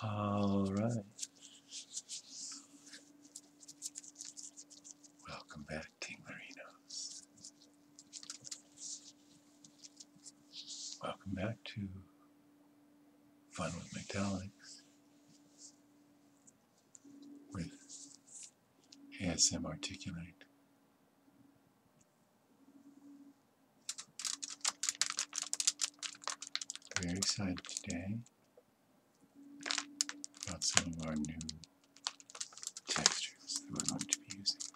All right. Welcome back, Tinglerinos. Welcome back to Fun with Metallics with ASM Articulate. Very excited today about some of our new textures that we're going to be using.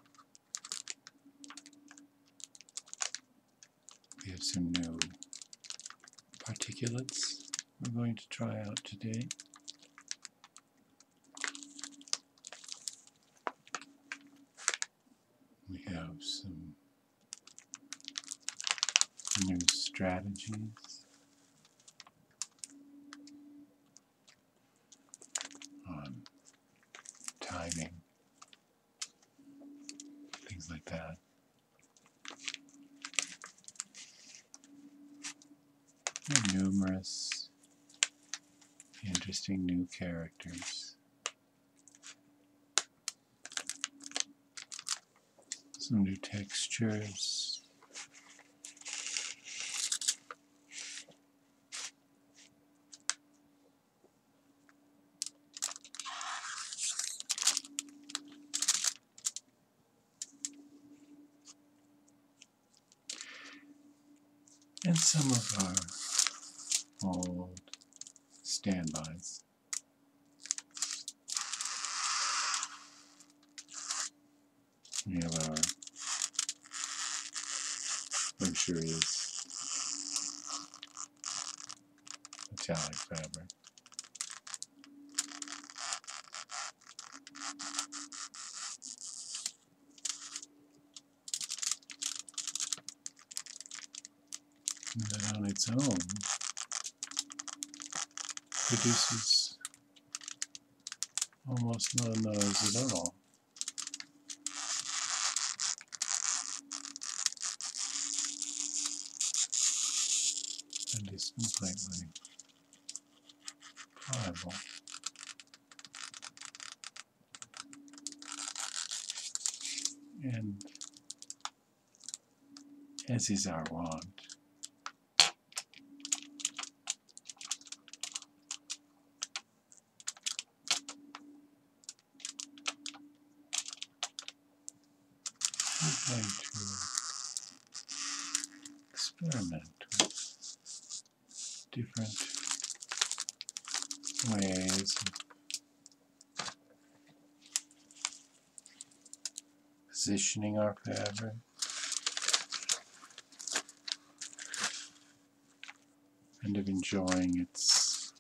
We have some new particulates we're going to try out today. We have some new strategies on timing, things like that numerous interesting new characters. Some new textures and some of our old standbys. We have he is metallic fabric. And that on its own produces almost no noise at all and is completely pliable. And as is our wont, I'm going to experiment with different ways of positioning our fabric. and of enjoying its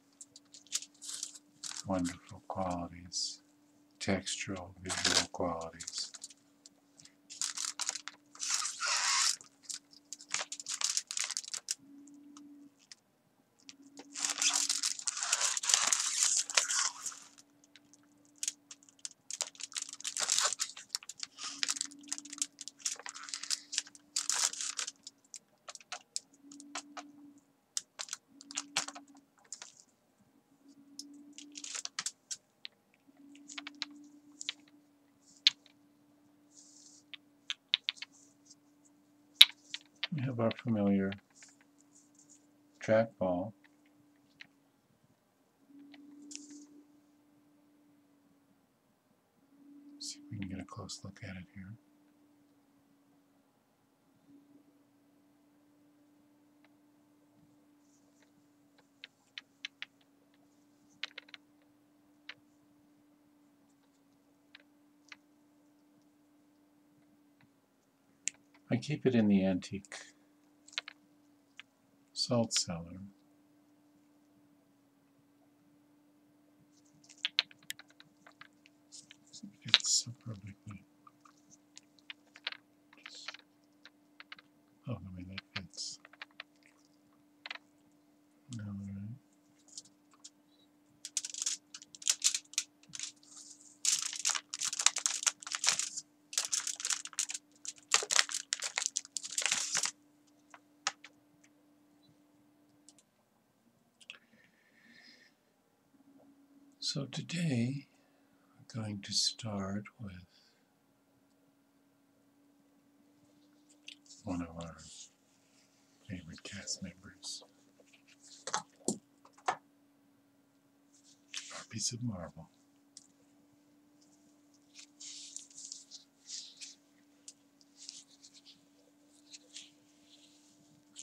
wonderful qualities textural visual qualities. We have our familiar trackball. see if we can get a close look at it here. I keep it in the antique salt cellar. It fits so Oh, I mean, that fits. All right. So today I'm going to start with one of our favorite cast members, our piece of marble.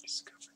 Discovered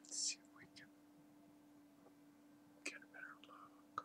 Let's see if we can get a better look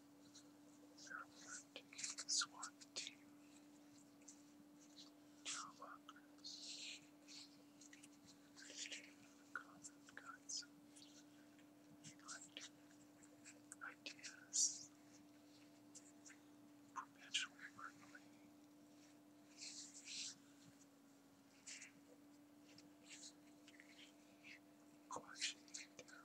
Taking SWAT team. Trailwalkers. Common Guides. Ideas. Perpetual Mercury. Quashing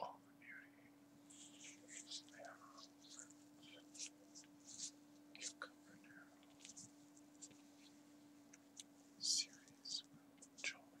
All the beauty is there. Cucumber now. Series will join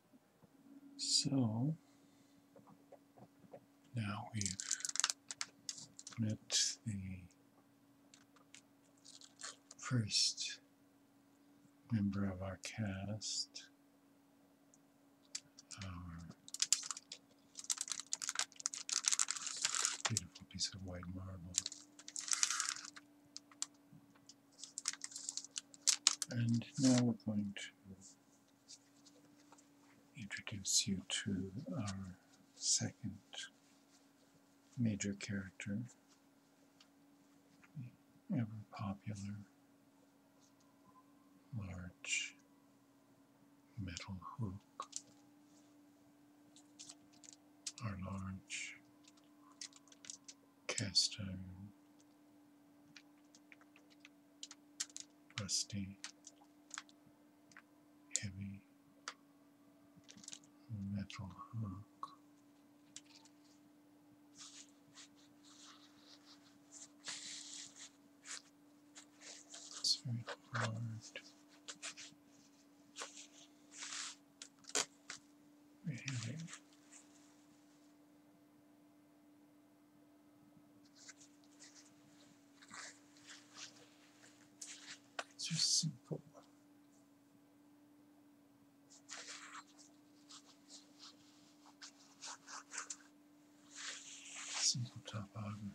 So now we've met the first member of our cast, our beautiful piece of white marble. And now we're going to introduce you to our second major character, ever popular, large metal hook, our large cast iron, rusty, heavy, metal hook, it's very hard. Very heavy. Just simple. Simple topography.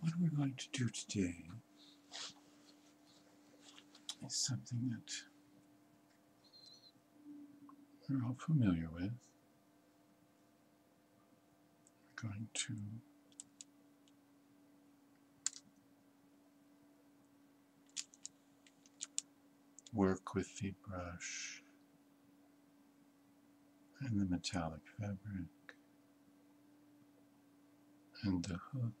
what we're going to do today is something that we're all familiar with. We're going to work with the brush and the metallic fabric and the hook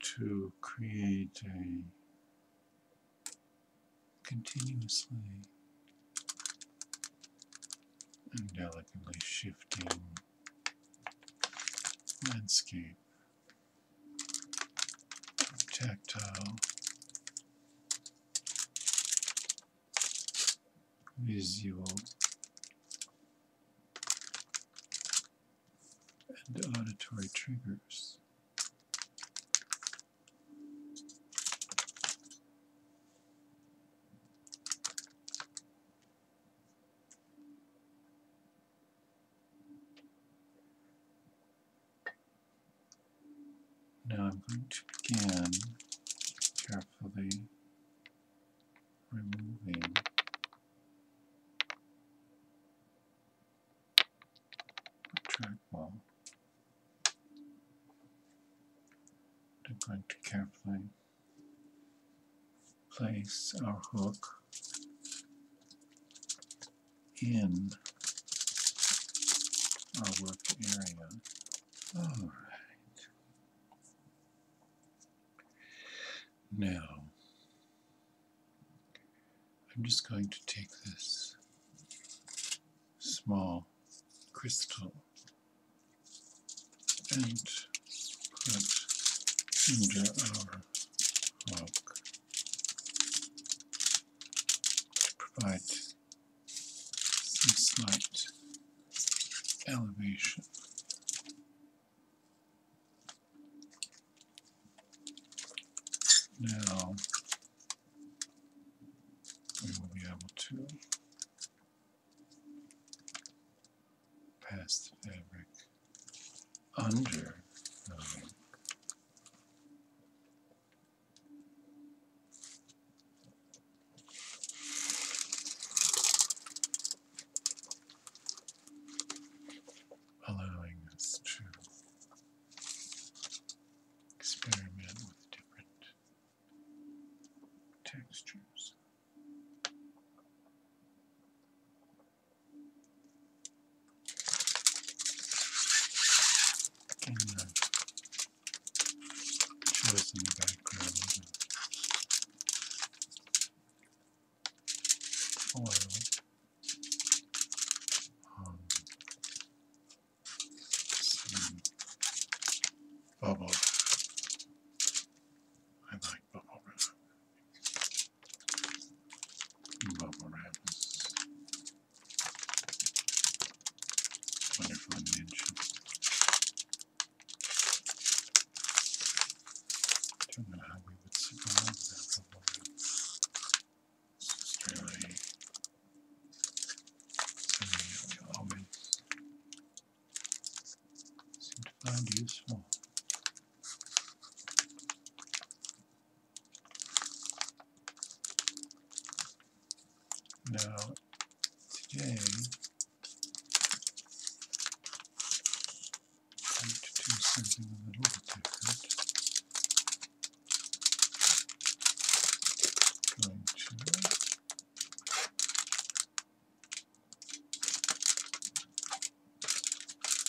to create a continuously and delicately shifting landscape tactile visual and auditory triggers. Now I'm going to begin carefully removing the trackball. I'm going to carefully place our hook in our work area. All right. Now, I'm just going to take this small crystal and put under our to provide some slight elevation. Now we will be able to past fabric under Allowing us to experiment with different textures show us in the background. Oil. Um, some I like bubble wonderful invention. I don't know how we would survive that bubble wrap. It's really seem to find useful. Now, today, I need to do something a little bit different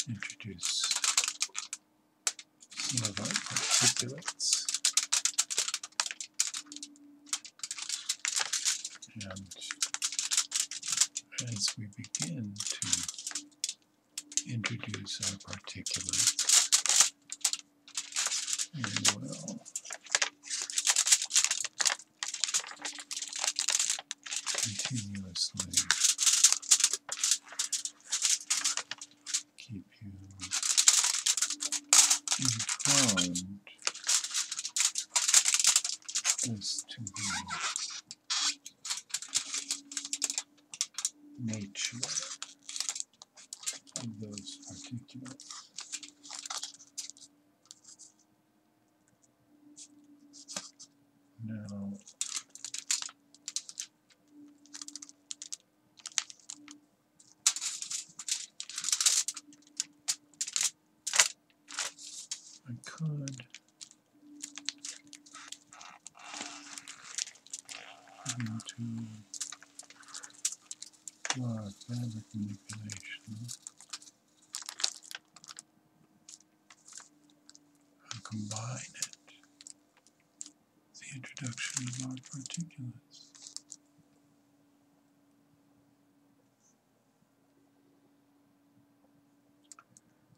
introduce some of our particulates and as we begin to introduce our particulates we will continuously keep you informed as to the nature of those particulates. Now, I could into blood fabric manipulation and combine it with the introduction of our particulates.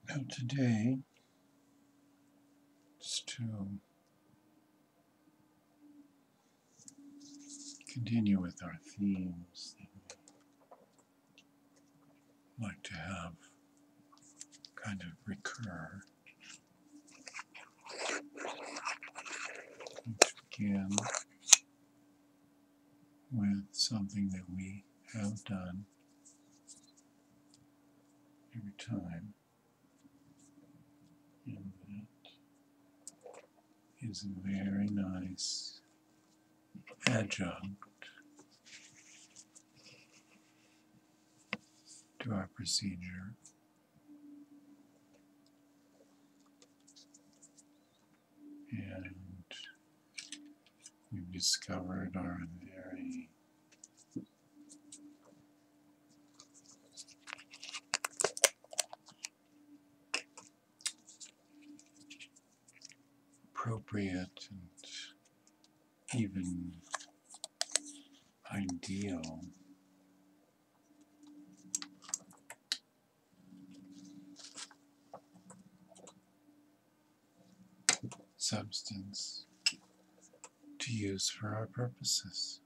Now today, just to continue with our themes like to have kind of recur. begin with something that we have done every time, and that is a very nice adjunct to our procedure. And we've discovered our very appropriate and even ideal. substance to use for our purposes.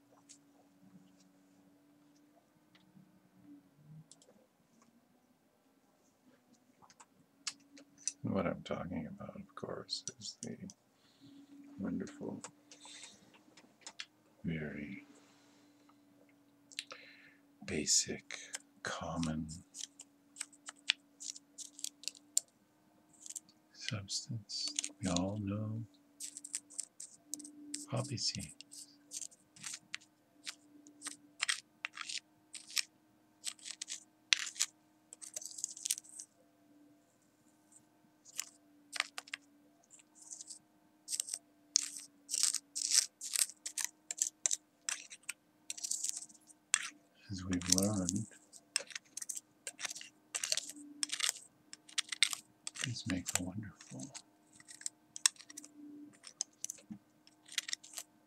And what I'm talking about, of course, is the wonderful, very basic, common substance we all know poppy seeds as we've learned, these make wonderful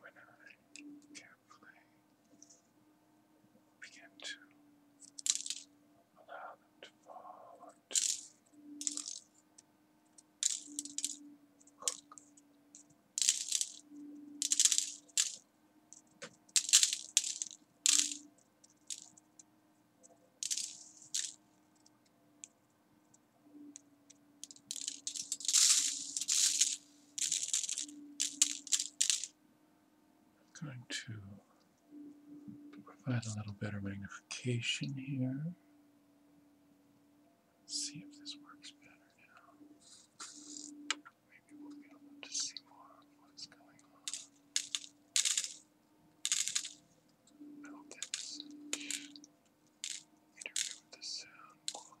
when I carefully begin to allow them to fall or I'm going to provide a little better magnification here. see if this works better now. Maybe we'll be able to see more of what's going on. No, interfere with the sound quality.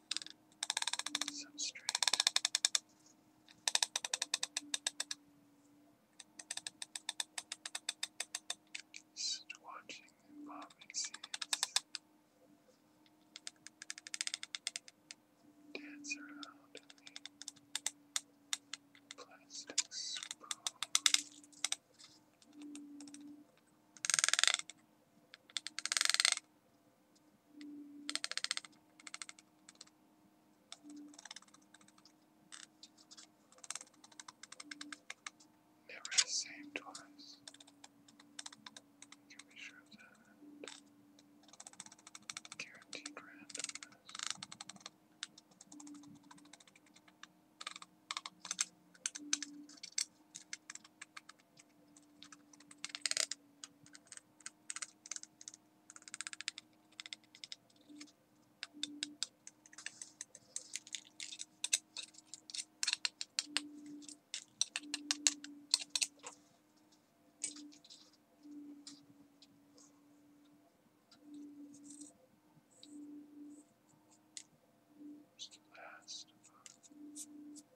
substrate. Just watching the bobbing seeds dance around in the plastic spoon. Never the same twice. You can be sure that. Guaranteed randomness. Just the last.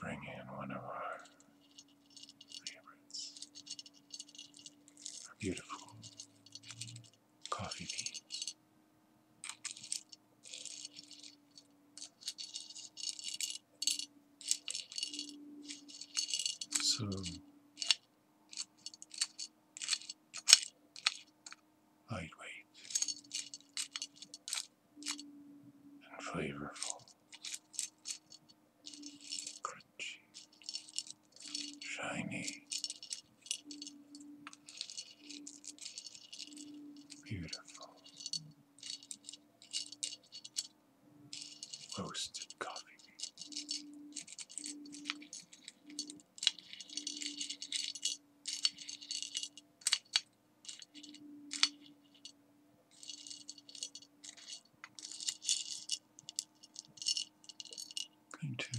bring in one of our favorites, our beautiful coffee beans. So lightweight and flavorful. Crunchy. Shiny. Beautiful. Roasted coffee. I'm going to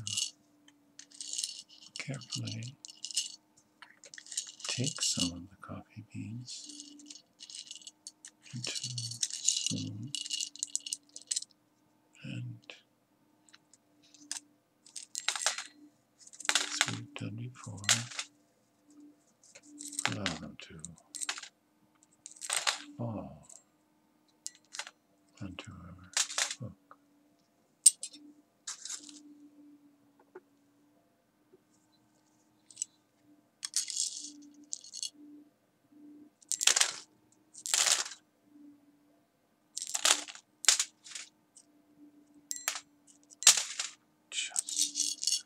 carefully take some of the coffee beans into a spoon and as we before, allow them to fall onto our book. Just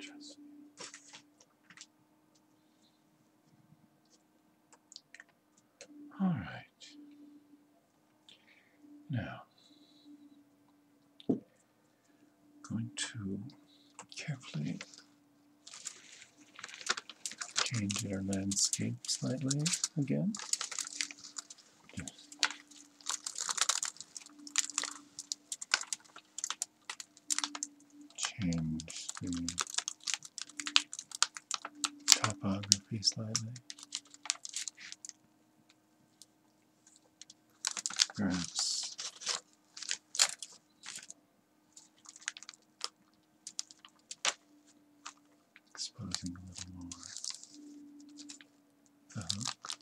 Trust All right. Now, I'm going to carefully change our landscape slightly again change the topography slightly. Perhaps exposing a little more the hook.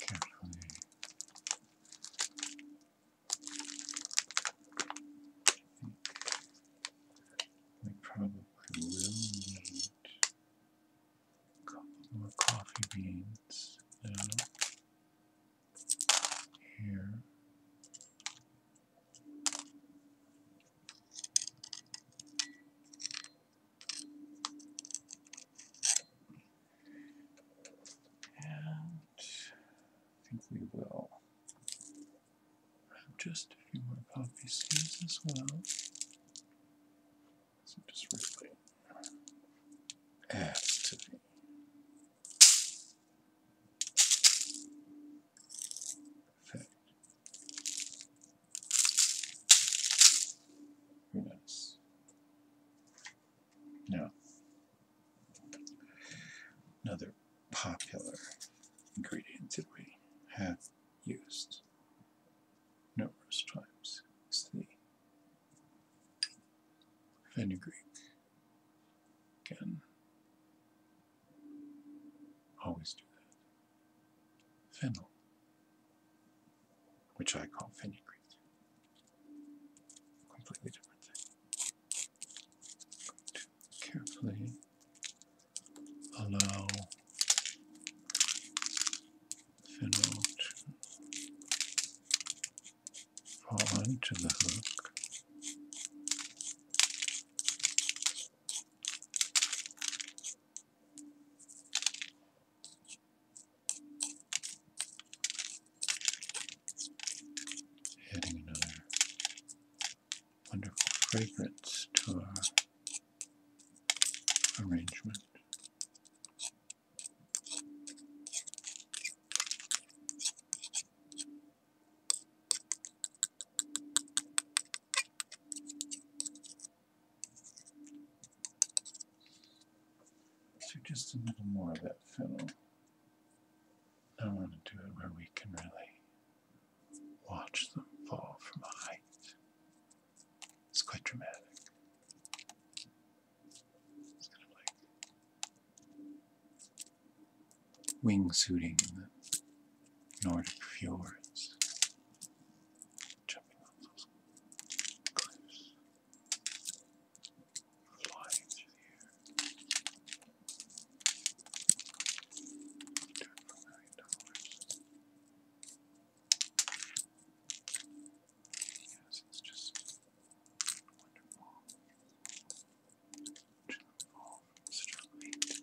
Just carefully I think we probably will need a couple more coffee beans now here. And I think we will have just a few more puffy sleeves as well. So just really adds to me. Now, another popular ingredient that we have used numerous times is the fenugreek. Again, always do that. Fennel, which I call fenugreek. Completely different carefully allow fennel to onto the hook. Adding another wonderful fragrance to our arrangement. So just a little more of that fennel. I want to do it where we can really watch them fall from a height. It's quite dramatic. It's kind wingsuiting in the Nordic fjords. Jumping off those cliffs. Flying through the air. Do for a million dollars it's just Wonderful. Such a great.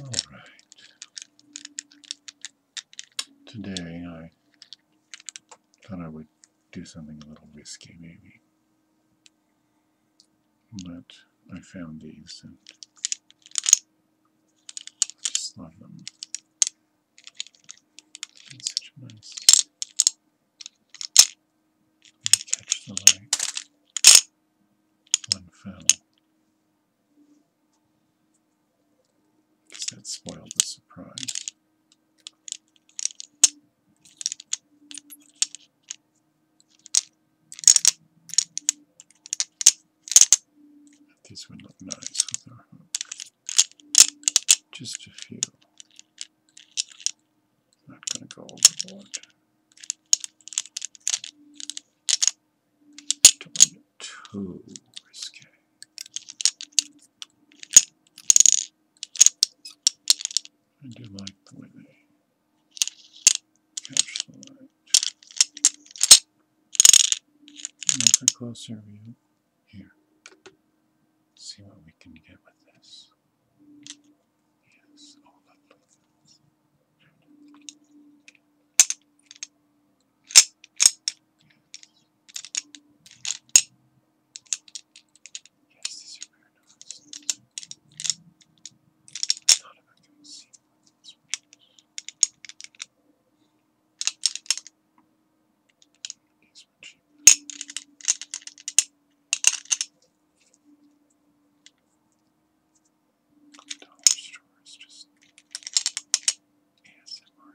All right today I thought I would do something a little risky maybe. But I found these and just love them. such nice. Catch the light. One fell. That spoiled the surprise. These would look nice Just a few. Not going to go overboard. do I do like the way catch the light. Make closer view here. See what we can get with this. Yes, oh lovely. Yes, these are very nice. I thought about going to see one of these These were cheap. Dollar stores just ASMR.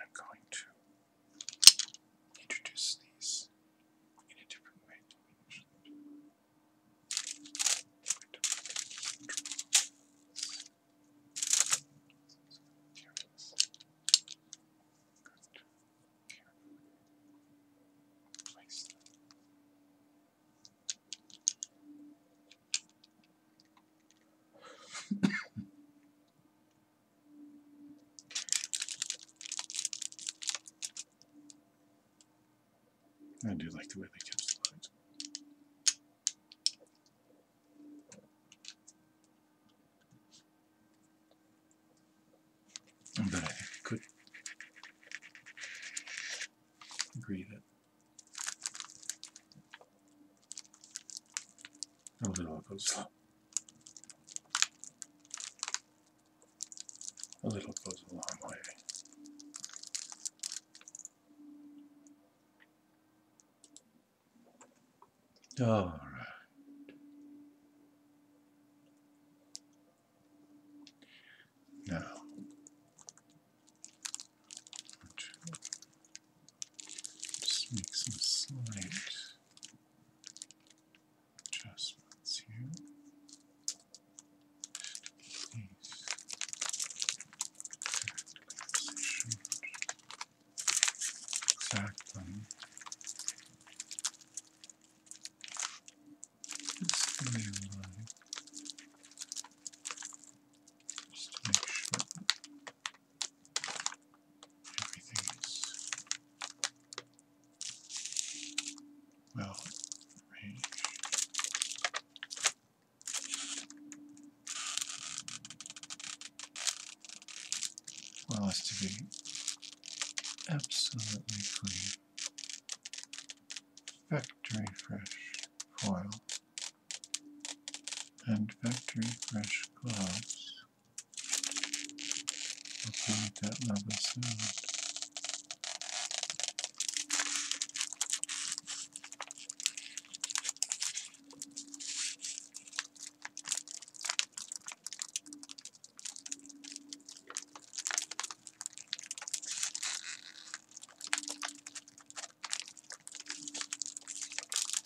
I'm going to introduce these in a different way I do like the way they catch the lines. But I could agree that that was an A little goes a long way. All right. Now, just make some slight adjustments here. Exactly. just to make sure Everything is well arranged. Well, as to be absolutely clean, factory fresh foil and factory fresh gloves will create that leather sound.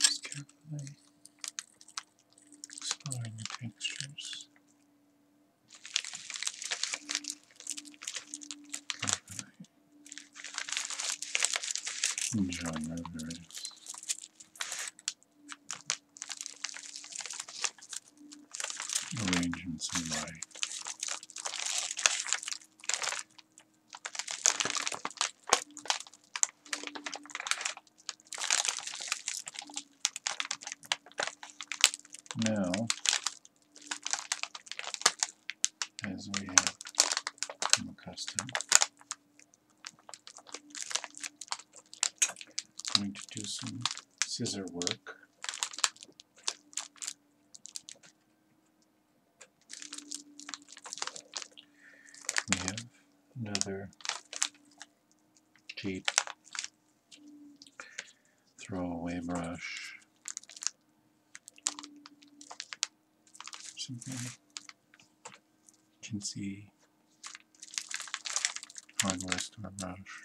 Just carefully exploring the textures. Enjoying those videos. Arranging some of my now as we have become accustomed going to do some scissor work we have another tape Throwaway brush. Something you can see on the rest of our brush.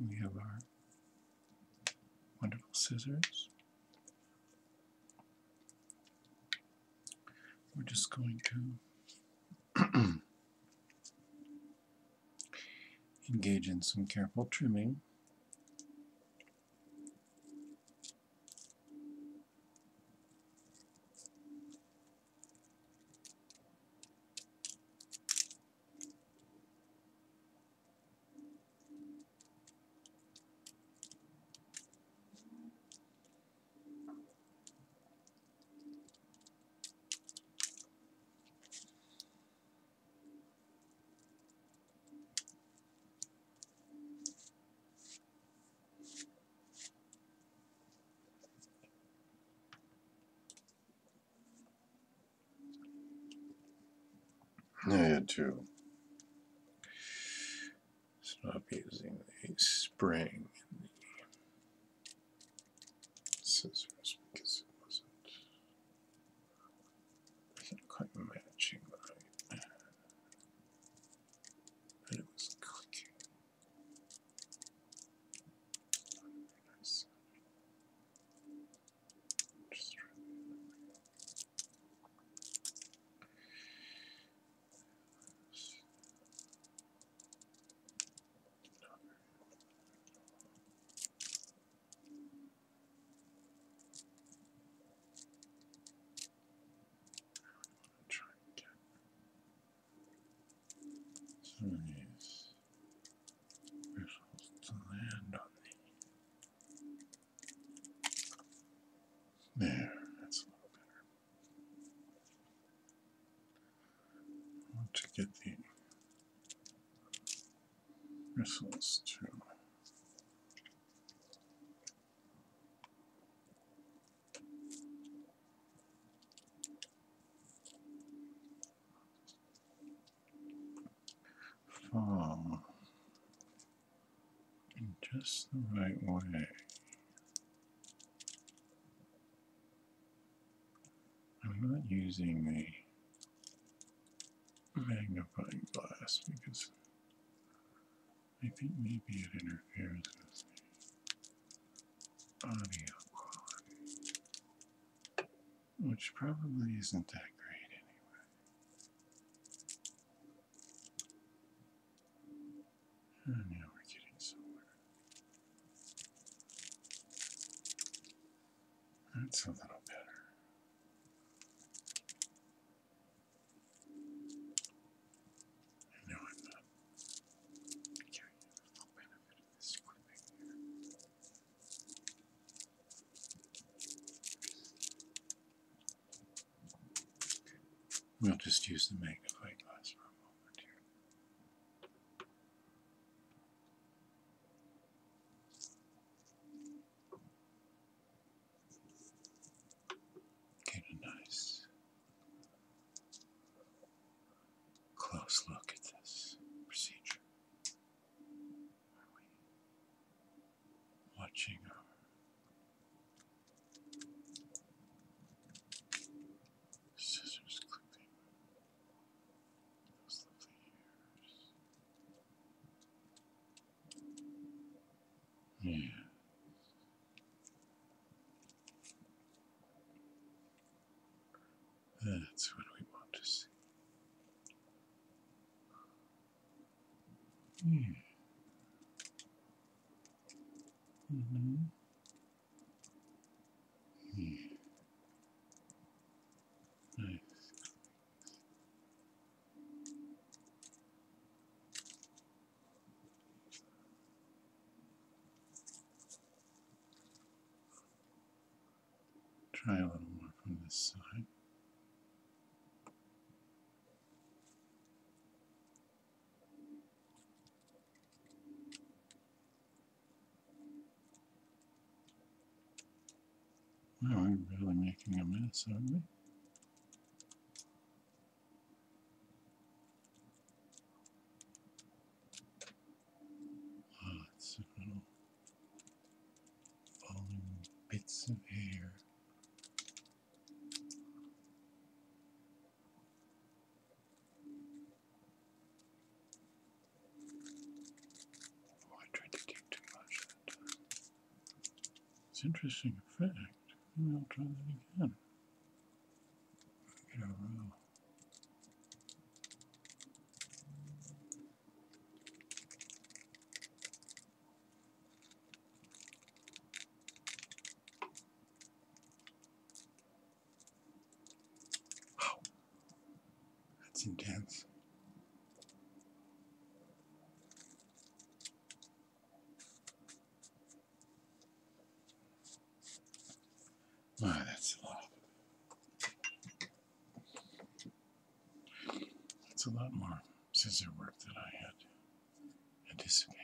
We have our wonderful scissors. We're just going to Engage in some careful trimming. Yeah, too. Stop using the spring scissors because it wasn't, wasn't quite matching right. Uh, it was clicking. Not nice. Just really Try and get some of to land on the. There, that's a little better want to get the bristles to fall in just the right way. I'm not using the magnifying glass because I think maybe it interferes with the audio quality, which probably isn't that great anyway. And oh, now we're getting somewhere. That's a little better. No, I'm not carrying the full benefit of this clipping here. We'll just use the magnifying glass for a moment here. Get a nice close look at this procedure. Are we watching our Scissors clipping yeah. Hmm. That's what we want to see. Mm. Mm -hmm. Mm-hmm try a little more from this side. Wow, we're really making a mess, aren't we? Oh, ah, it's a falling bits of hair. Oh, I tried to keep too much It's interesting effect. I'll try that again. Get a row. Wow. That's intense. Wow, ah, that's a lot. That's a lot more scissor work than I had anticipated.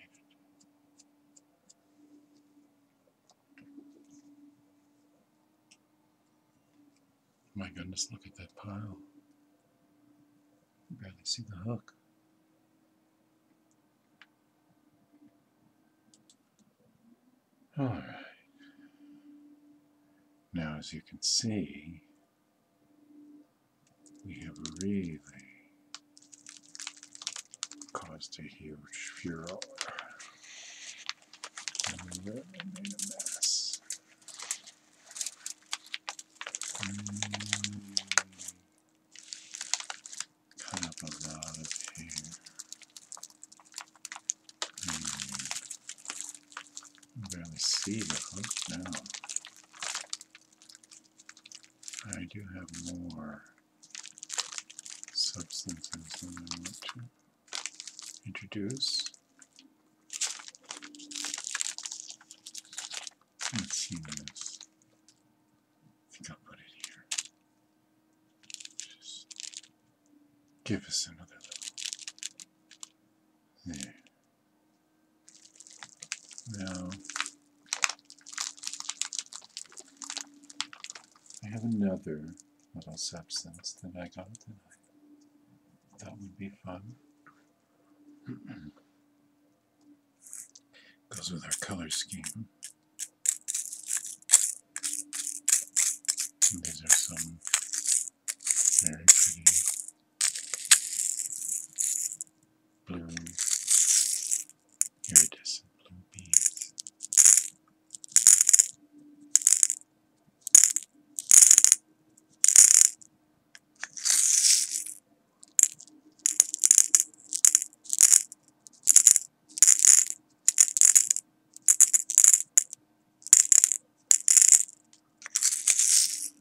My goodness, look at that pile. You barely see the hook. All right. Now, as you can see, we have really caused a huge furor. I Made a mess. Cut up a lot of hair. Mm. I barely see the hooks now. I do have more substances than I want to introduce. Let's see this. I think I'll put it here. Just give us another little. There. Now, I have another little substance that I got tonight. That would be fun. Goes with our color scheme. these are some very pretty blue, iridescent blue beads.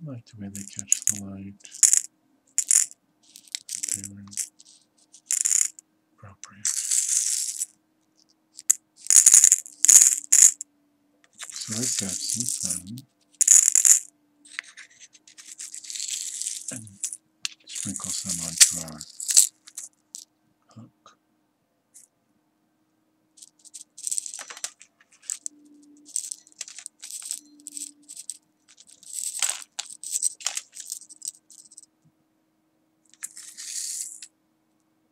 I like the way they catch the light. So let's have some fun. And sprinkle some onto our hook.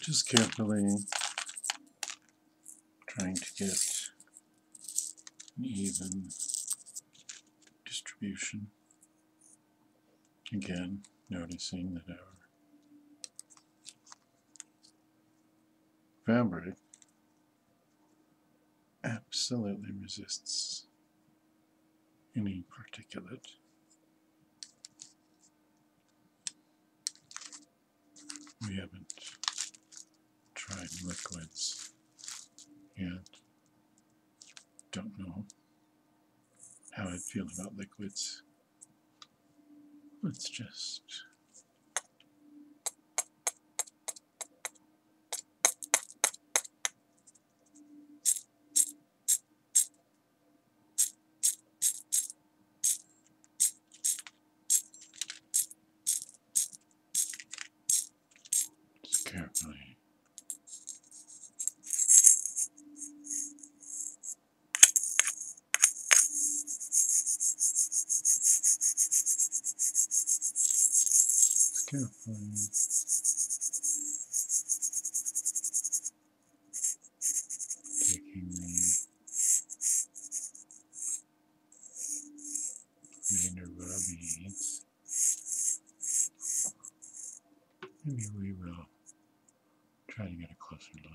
Just carefully trying to get an even distribution. Again, noticing that our fabric absolutely resists any particulate. We haven't tried liquids yet. Don't know how I feel about liquids. Let's just just carefully. Just carefully happening. Taking me even Maybe we will try to get a closer look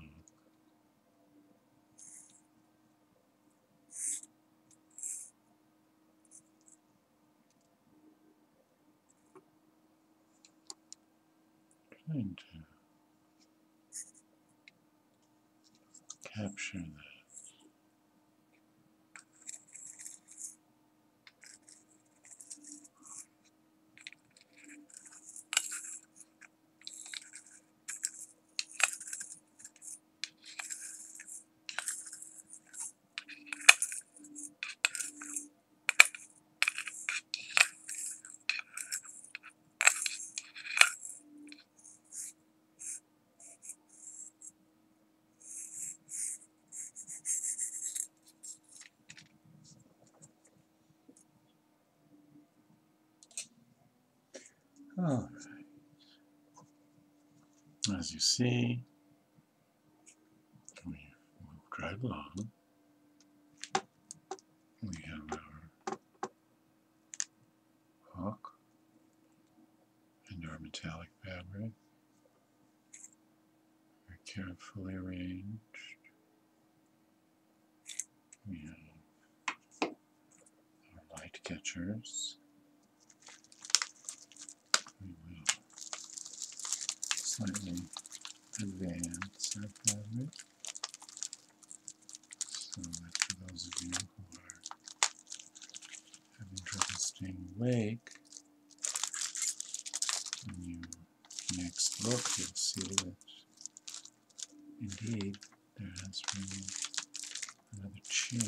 trying to capture this. All right. As you see, we will drive along. We have our hawk and our metallic fabric very carefully arranged. We have our light catchers we will slightly advance our fabric. So that for those of you who are having trouble staying awake, when you next look, you'll see that indeed there has been another change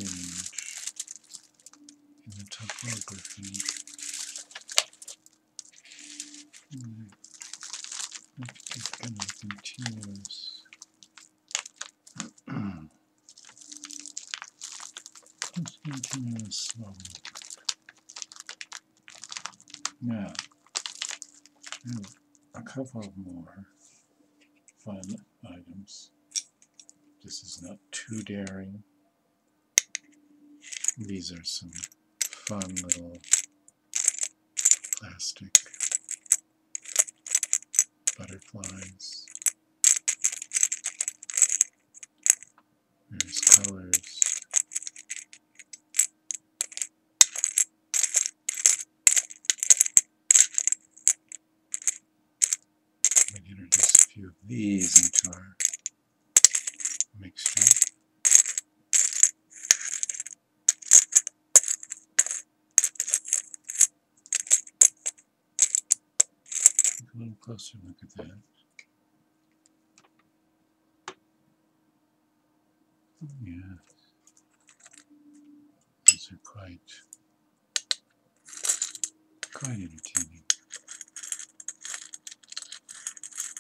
in the Gryphon. Mm. going to continue this. let continue this slowly. a couple of more fun items. This is not too daring. These are some fun little plastic butterflies. There's colors. We introduce a few of these into our mixture. Take a little closer look at that. Oh, yeah, these are quite, quite entertaining.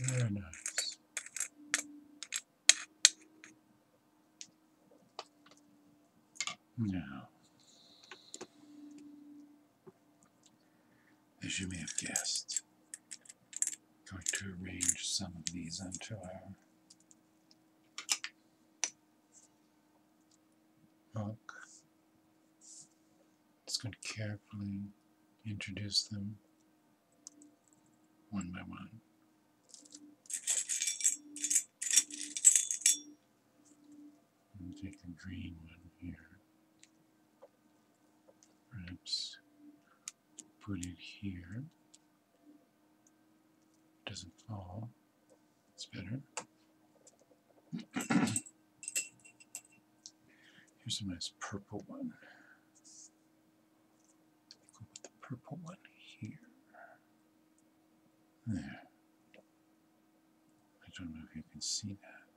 Very nice. Now, as you may have guessed, I'm going to arrange some of these onto our book. Just going to carefully introduce them one by one. I'm take the green one here. Perhaps put it here. It doesn't fall. It's better. Here's a nice purple one. Go with the purple one here. There. I don't know if you can see that.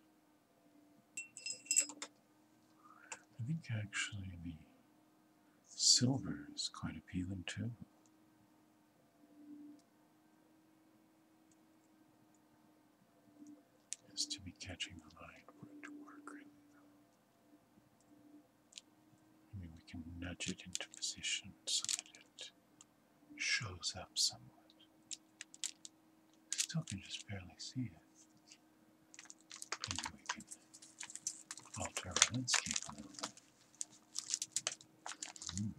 I think actually the silver is quite appealing too. Is to be catching the light for it to work I mean, we can nudge it into position so that it shows up somewhat. Still can just barely see it. Maybe we can alter our landscape a little bit. Mm,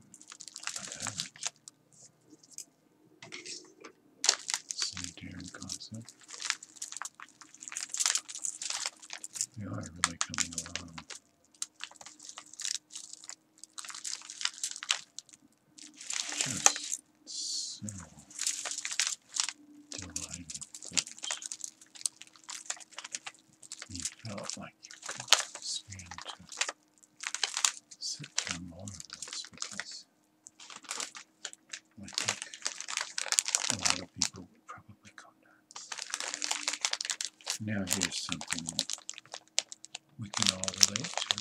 Sanitarium concept. We are really coming along just so delighted that you felt like you could stand to sit down more of this because I think a lot of people would probably go nuts. Now here's something that we can all relate to.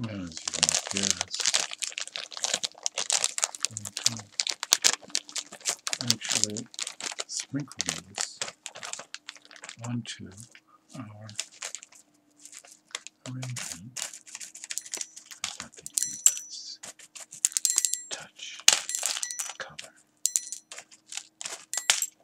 As you can guess, I actually sprinkle these onto our arrangement. I thought they touch color.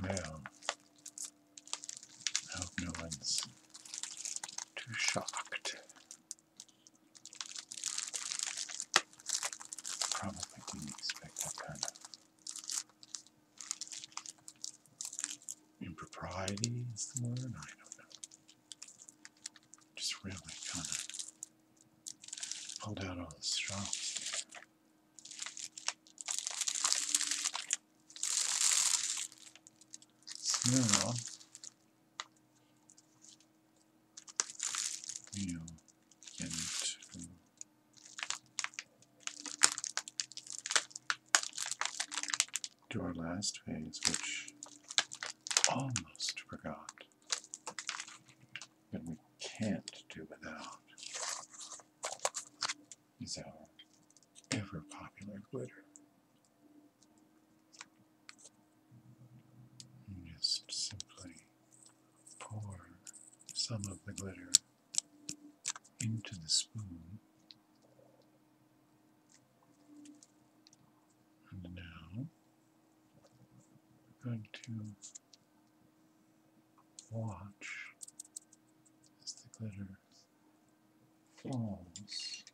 Well, I hope no one's too shocked. Probably didn't expect that kind of Impropriety is the word? I don't know. Just really kind of pulled out all the straws. now we'll into to our last phase, which almost forgot but we can't do without is our ever popular glitter. just simply pour some of the glitter into the spoon. And now we're going to watch as the glitter falls.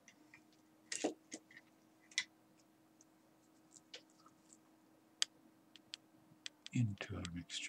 into our mixture.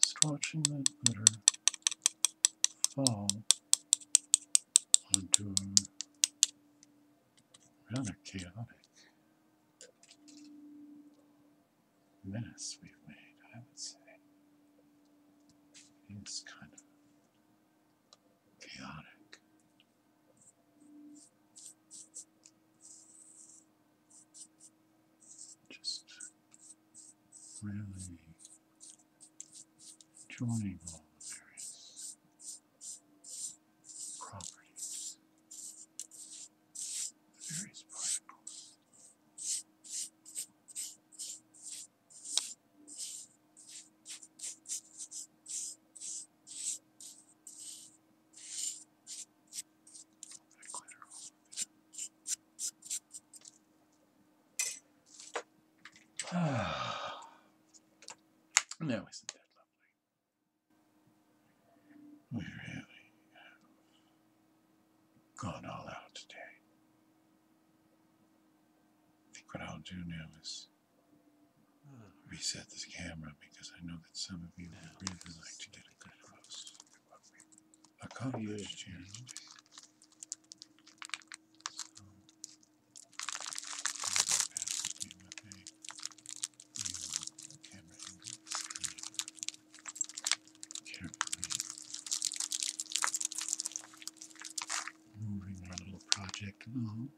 Just watching that glitter fall onto a rather chaotic menace we've made, I would say, is kind of chaotic. Just really joining all the various properties, the various particles now isn't that lovely? We really have gone all out today. I think what I'll do now is reset this camera because I know that some of you would really like to get a good close what we've accomplished Moving our little project along.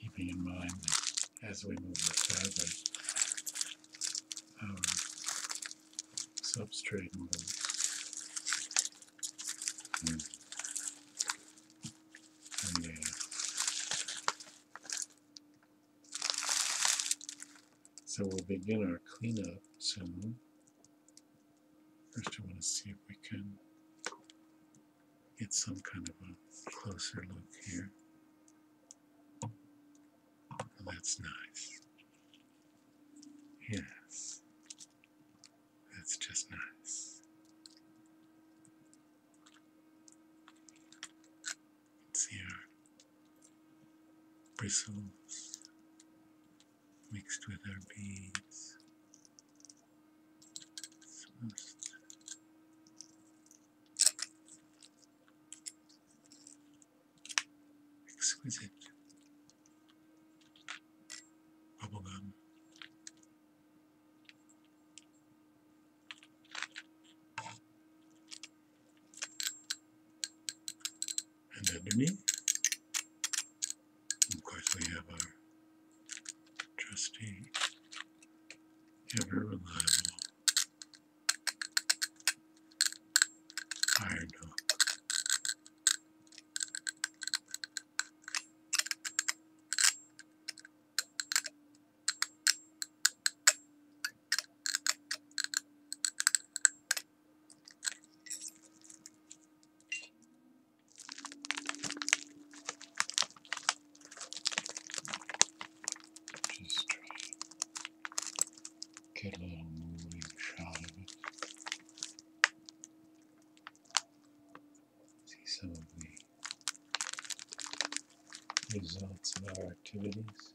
Keeping in mind as we move the feathers, substrate moves so we'll begin our cleanup soon. First I want to see if we can get some kind of a closer look here. that's nice. Yes. That's just nice. see our bristles mixed with our beads. It's exquisite Bubblegum. And underneath, of course, we have our trusty, ever reliable iron hook. Just try to get a little moving shot of it see some of the results of our activities.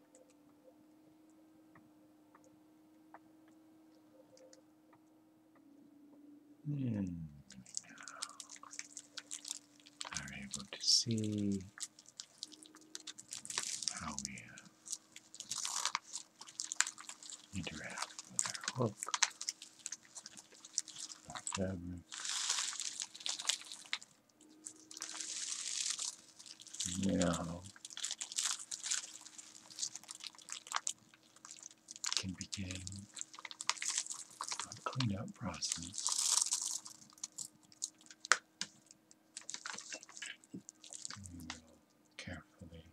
Hmm. Are able to see how we uh, interact with our hook, our fabric now can begin the cleanup process. carefully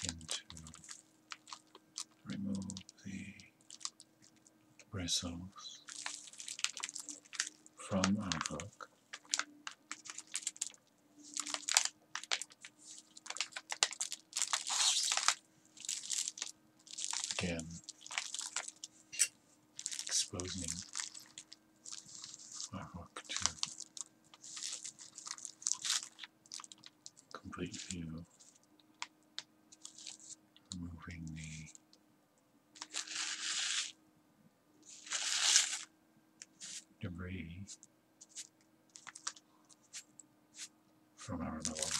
begin remove the bristles from our hook. Again, exposing my hook to complete view, removing the debris from our little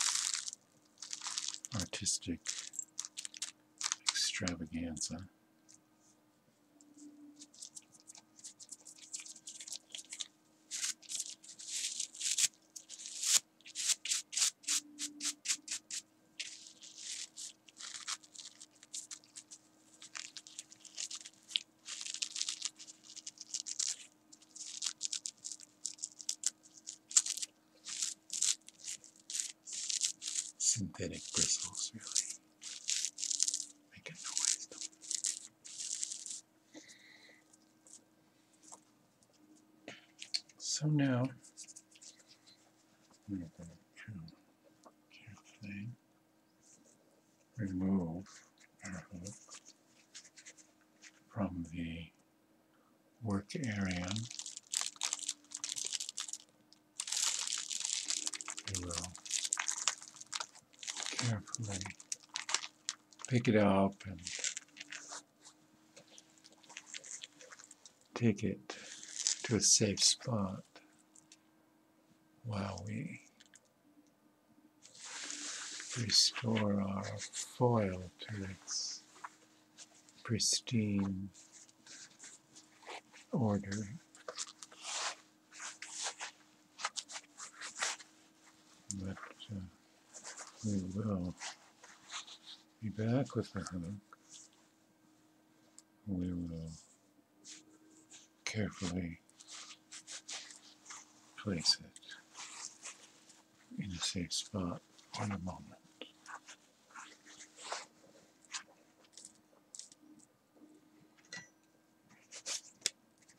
artistic extravaganza synthetic bristles really make a noise. So now we're going to carefully remove our hook from the work area. We will carefully pick it up and take it to a safe spot while we restore our foil to its pristine order. But uh, we will be back with the hook. We will carefully place it in a safe spot One moment.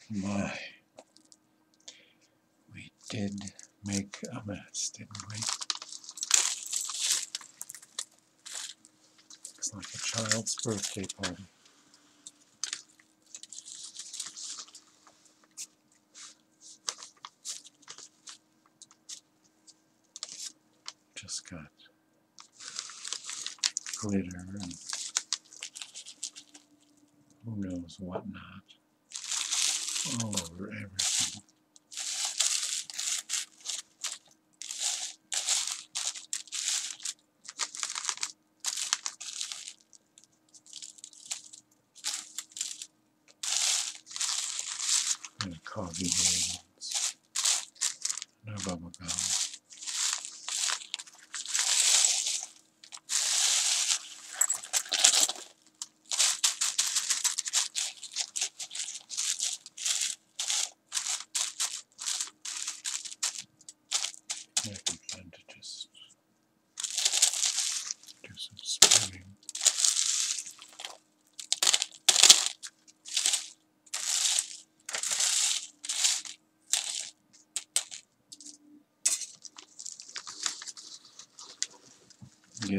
My, we did make a mess, didn't we? Looks like a child's birthday party. Just got glitter and who knows what not all over everything. And coffee beans. No bubble gum. Make a plan to just do some spinning.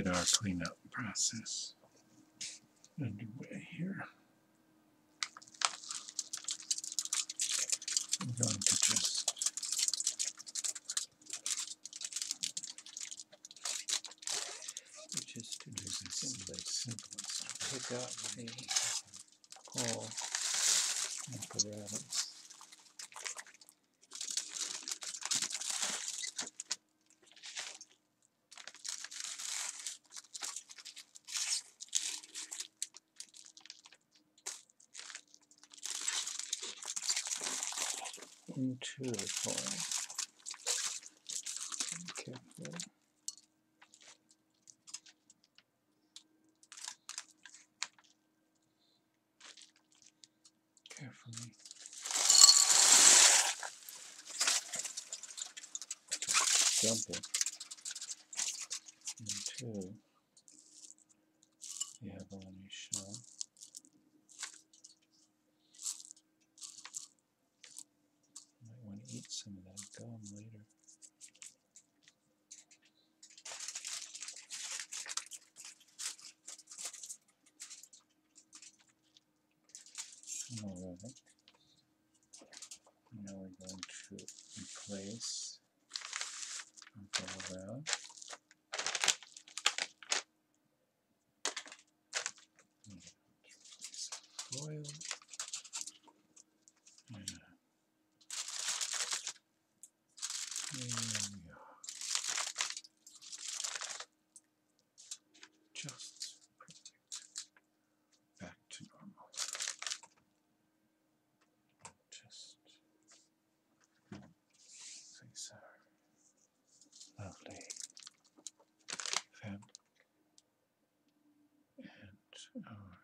Get our cleanup process underway here. I'm going to just which is to do this in the simplest. Pick up the whole apparatus into the coil. Careful. Carefully example and two we have a shell might want to eat some of that gum later all right now we're going to replace and parallel. Foil. Yeah. There we are. Just back to normal. Just face our lovely fabric and our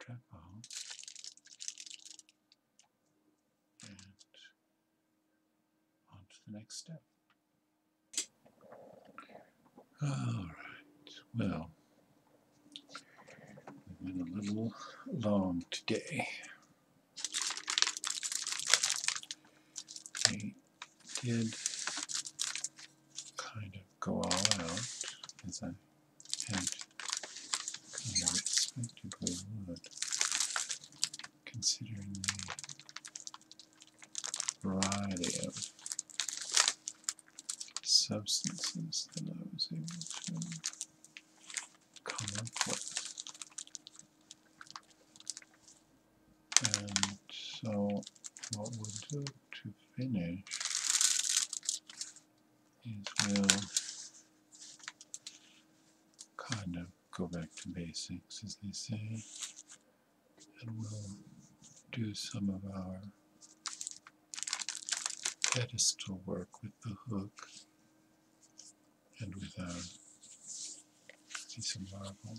treadmill and on to the next step. All right, well, we went a little long today. I did kind of go all out, as I had kind of expected we would, considering the variety of substances that I was able to come up with. And so what we'll do to finish is we'll kind of go back to basics as they say and we'll do some of our pedestal work with the hook and with our piece of marble.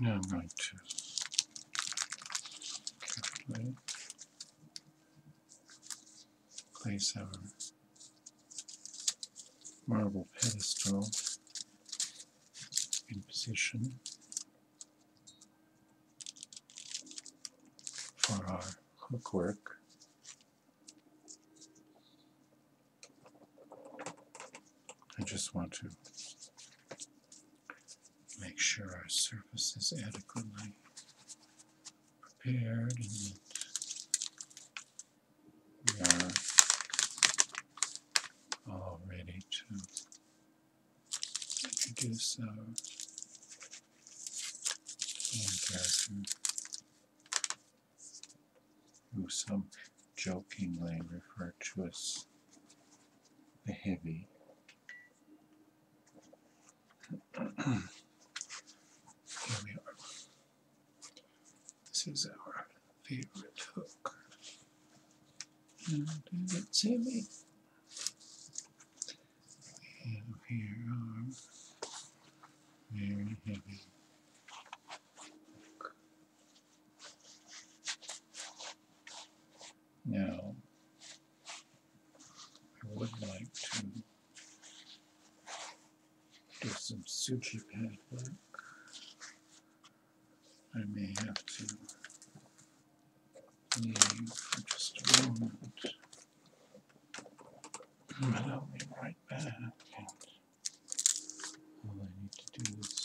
Now I'm going to carefully place our marble pedestal in position for our hookwork. I just want to make sure our surface is adequately prepared Oh, we are all ready to introduce our person who some jokingly referred to as the heavy. This is our favorite hook. And see me? And here are very heavy hook. Now I would like to do some suture pad I may have to leave for just a moment, but I'll be right back. all I need to do is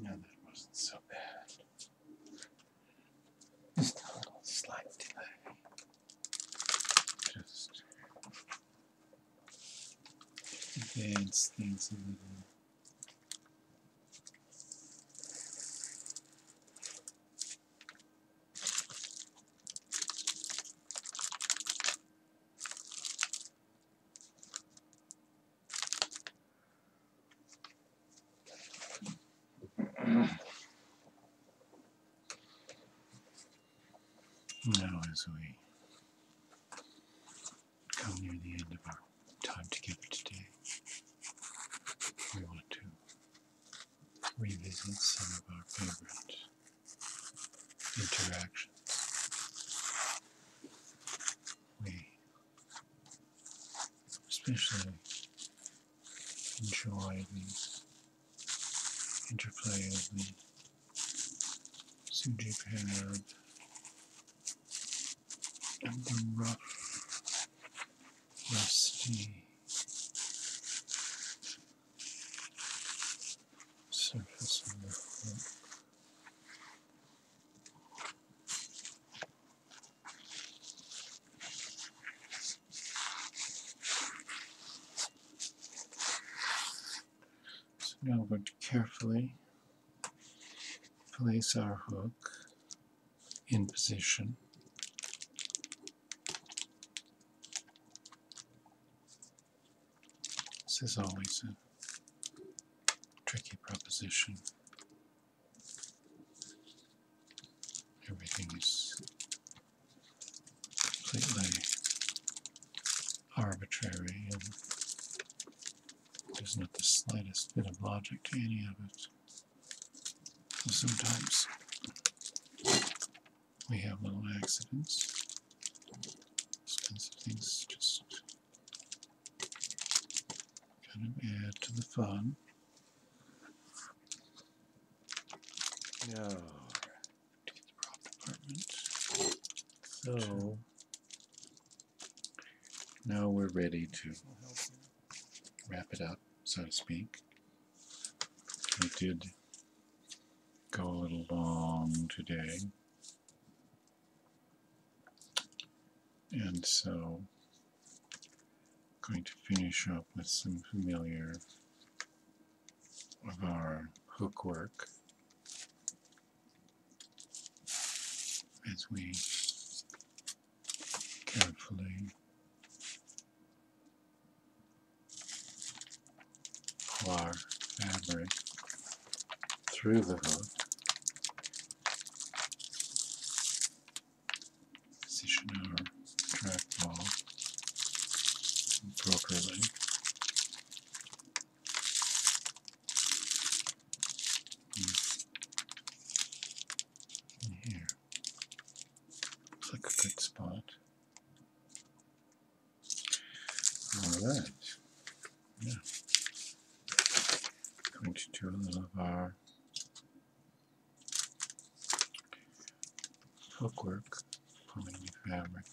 no, that wasn't so bad. Just a little slight delay. Just advance things a little. Now, as we come near the end of our time together today, we want to revisit some of our favorite interactions we especially enjoy the interplay of the Suji pad rusty surface of the hook. So now we're going to carefully place our hook in position this is always a tricky proposition. Everything is completely arbitrary and does not the slightest bit of logic to any of it. sometimes we have little accidents. These kinds of things just Kind of add to the fun. No. To the prop department. So now we're ready to wrap it up, so to speak. We did go a little long today. And so I'm going to finish up with some familiar of our hook work as we carefully pull our fabric through the hook. Position our trackball properly. And hmm. here. Looks like a good spot. Alright. Going to do a little of our hookwork, pulling the fabric,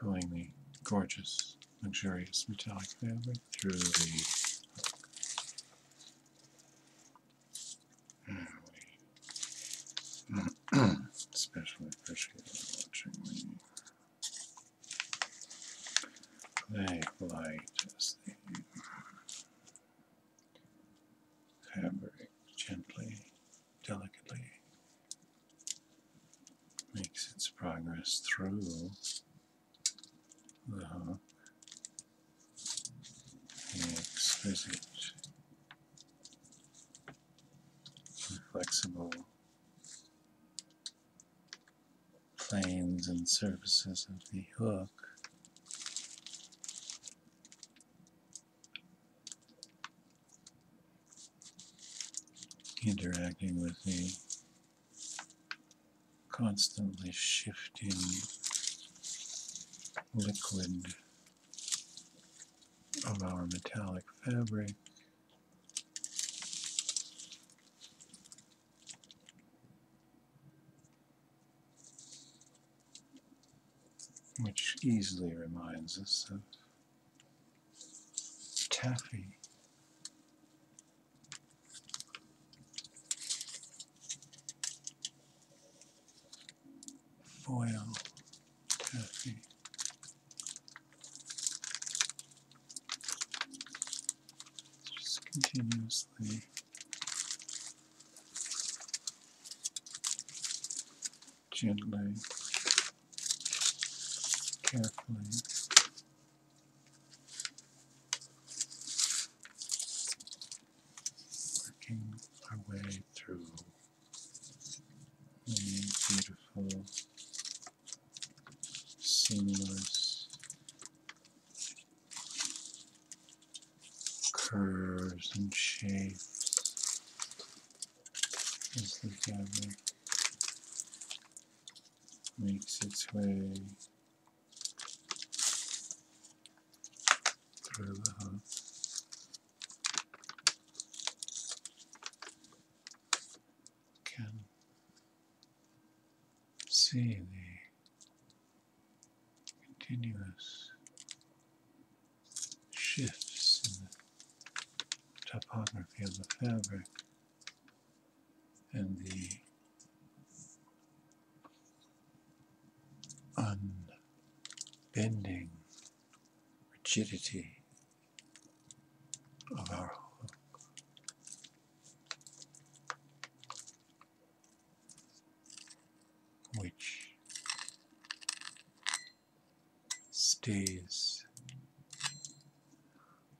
pulling the gorgeous, luxurious metallic fabric through the hook. And we especially Backlight as the fabric gently, delicately makes its progress through the hook. The exquisite, flexible planes and surfaces of the hook. interacting with the constantly shifting liquid of our metallic fabric which easily reminds us of taffy. Foil taffy. Just continuously gently, carefully. Working our way through many beautiful singulars, curves and shapes as the fabric makes its way through the hook can see the continuous shifts in the topography of the fabric and the unbending rigidity of our Which stays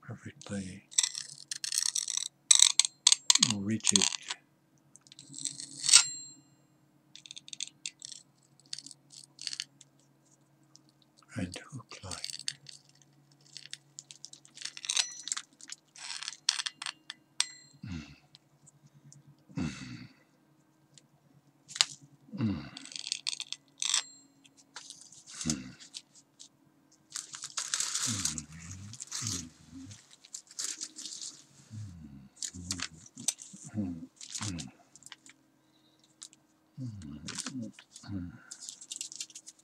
perfectly rigid and hook-like. Mm. Mm. Mm. Mm.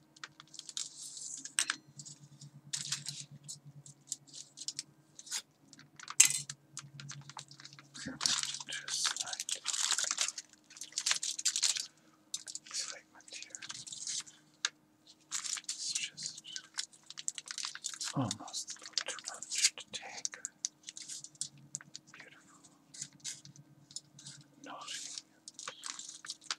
Just like segment here. It's just almost a little too much to take. Beautiful. Nodding.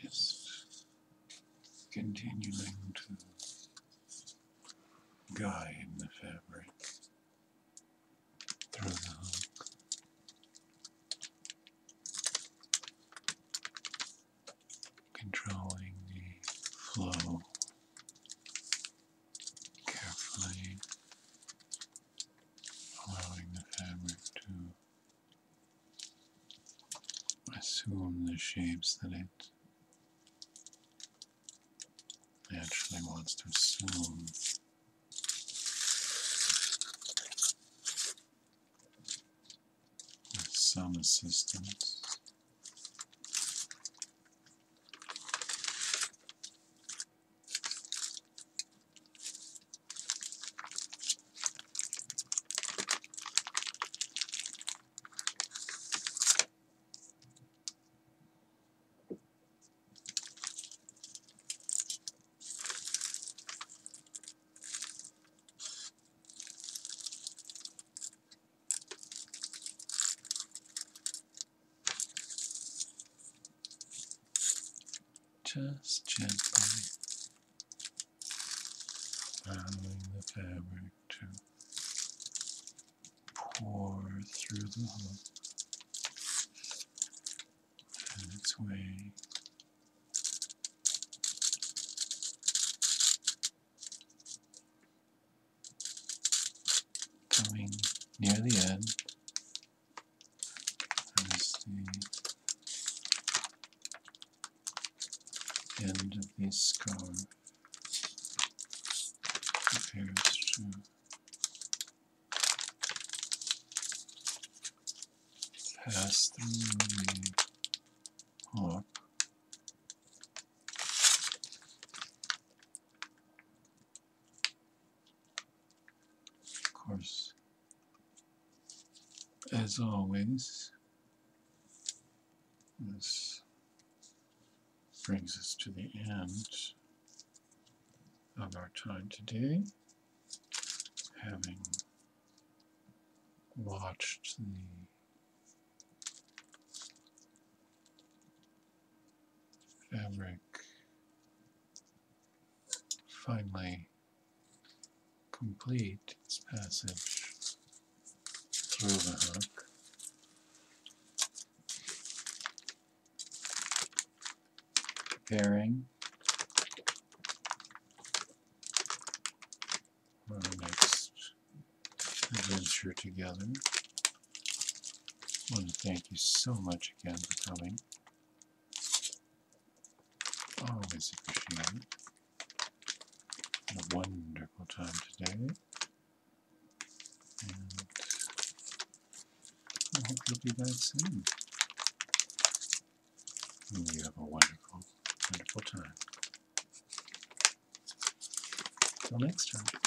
Just continuing to guide the fabric through the hook. Controlling the flow carefully, allowing the fabric to assume the shapes that it actually wants to assume. With some assistance. Just gently allowing the fabric to pour through the hole, and its way coming near the end as the end of this scars appears to pass through the hawk of course as always this brings us to the end of our time today, having watched the fabric finally complete its passage through the hook. Pairing our next adventure together. I want to thank you so much again for coming. Always appreciate it a wonderful time today. And I hope you'll be that soon. And you have a wonderful, wonderful time. Till next time.